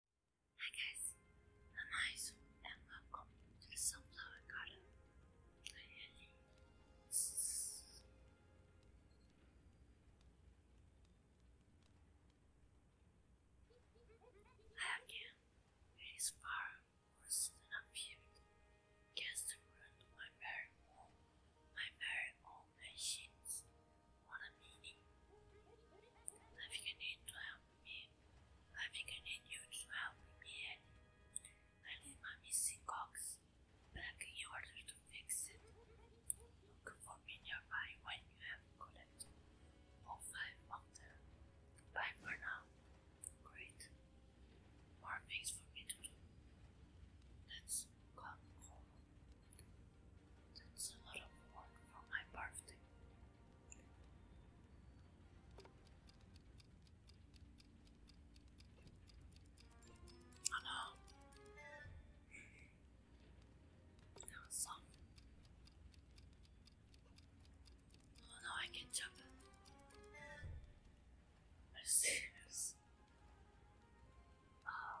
Hi guys, I'm Aizu and welcome to the Sunflower Garden. Again, it is far worse than I feared. Guess the ruined my very own, my very own machines. I'm eating. need to help me. I need you to help me, I need my missing box back in order to fix it. Look for me nearby when you have got All five of them. Bye for Great. More things for me to do. Let's go home. That's a lot of work for my birthday. Oh no! That was soft. Oh no, I can jump. Are you Oh,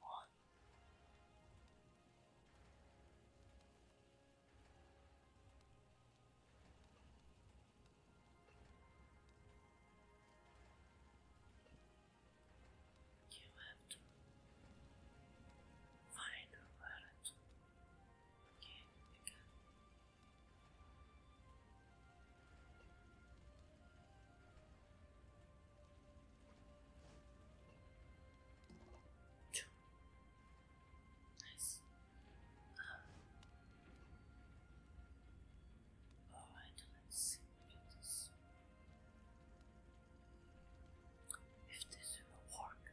One. You have to find the gun. Nice. Um, all right, let's see. Look this. If this will work,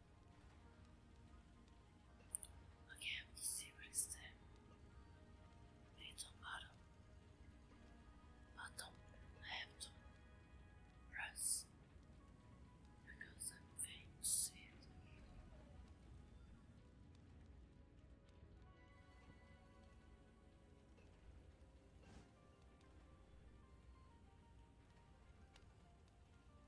Okay, I'm see where's the little bottom. I have to press because I'm faint to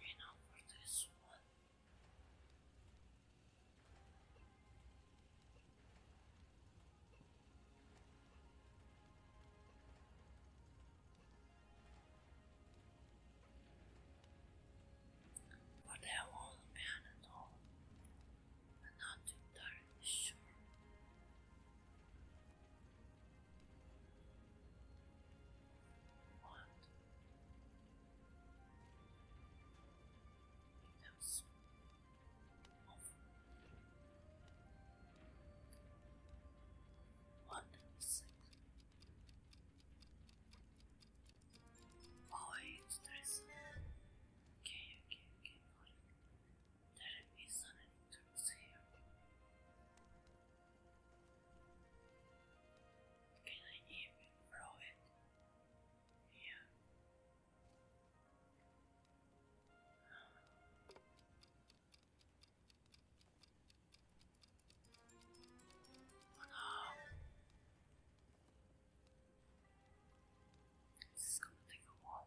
And now for this one. their own man and all, and not entirely sure want. It does. What is it? Oh, it's interesting. Okay, okay, okay, got it. There is an entrance here. Can I even throw it? Yeah. Oh This is gonna take a while.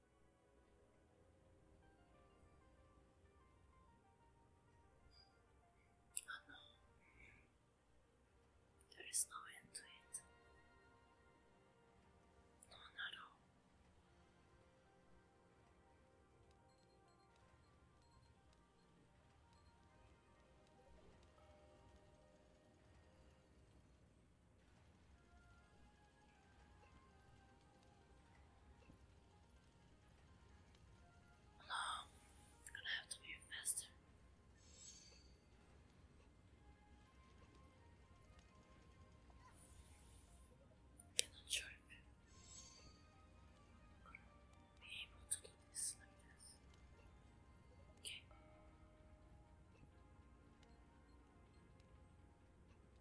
no, there is no end to it. No, not all. No, i gonna have to move faster. Cannot sure I'm gonna be able to do this like this. Okay.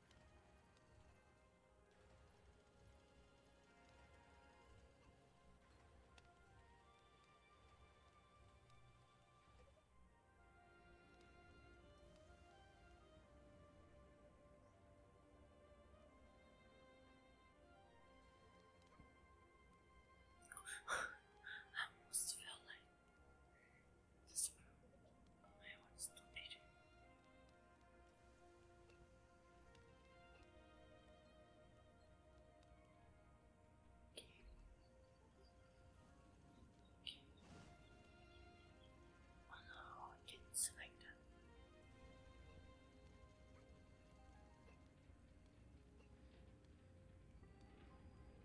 I almost feel like this one, my one is donated. Oh no, I did that.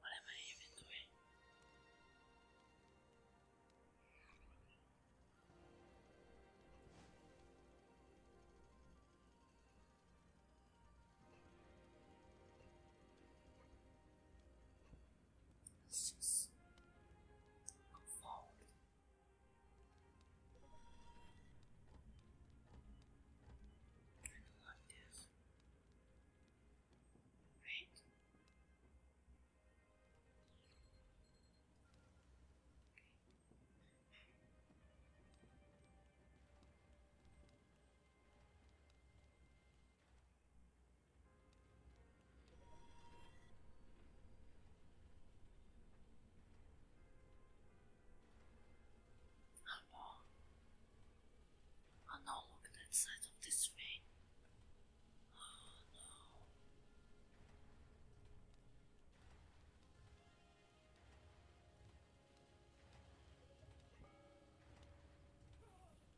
What am I even doing? Let's just go forward. like this. Right? Oh no. Oh no, look at that side of this vein. Oh no.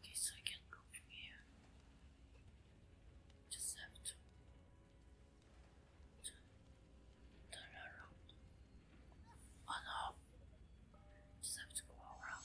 Okay, so I can go from here. Just have to turn around. Oh no! Just have to go around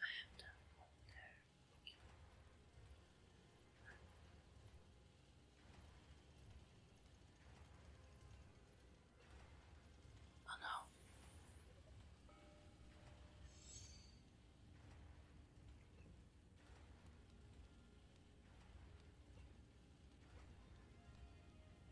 I have done all their looking. Oh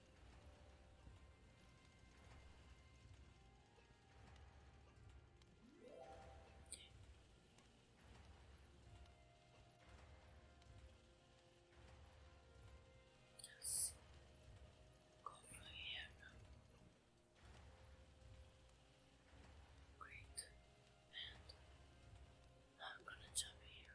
Just go for Great. And I'm gonna jump here.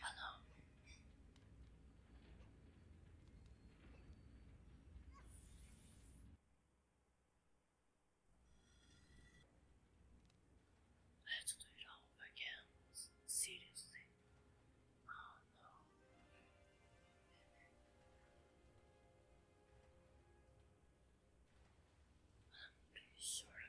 Hello. I have to do it all again. Seriously. Oh no. I'm sure I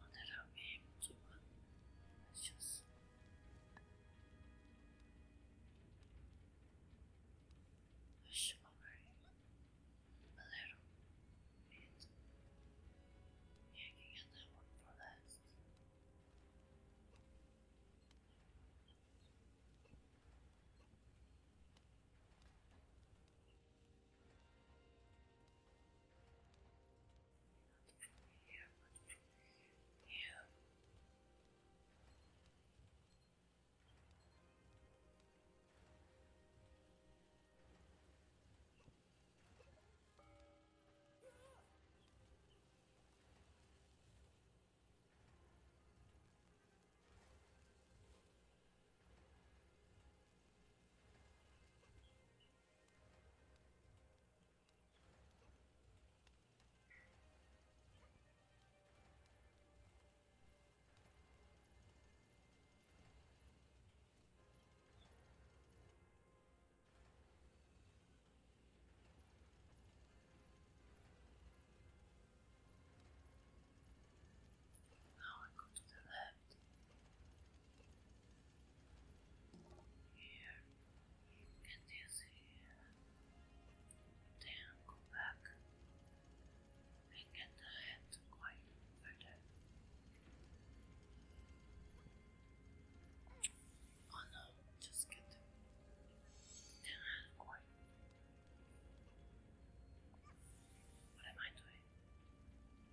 not that I'll be able to, but it's just. Push over a little bit. I can get that one for not from here, but from here. Now now I go to the left left. Here, and this here. Then go back and get the quite further. Oh no, just get the quite. What am I doing?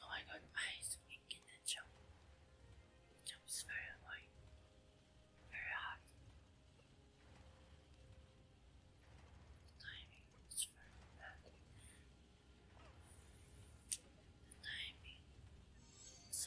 Oh my god, I used to make jump. Jump very annoying. Very hard. timing is very bad. timing is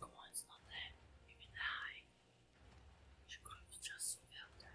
Come on, it's not there. Maybe the high. She could have just felt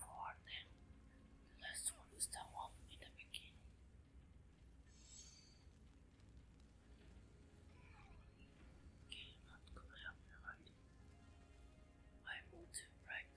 For them, last one is the one in the beginning. Okay, help you I want to right.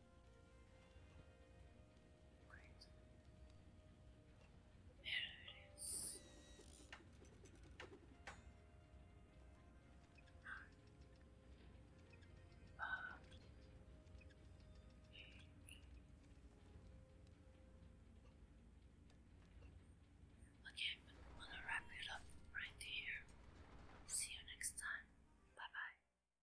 Right. okay, I'm gonna wrap it up right here. See you next time. Bye bye.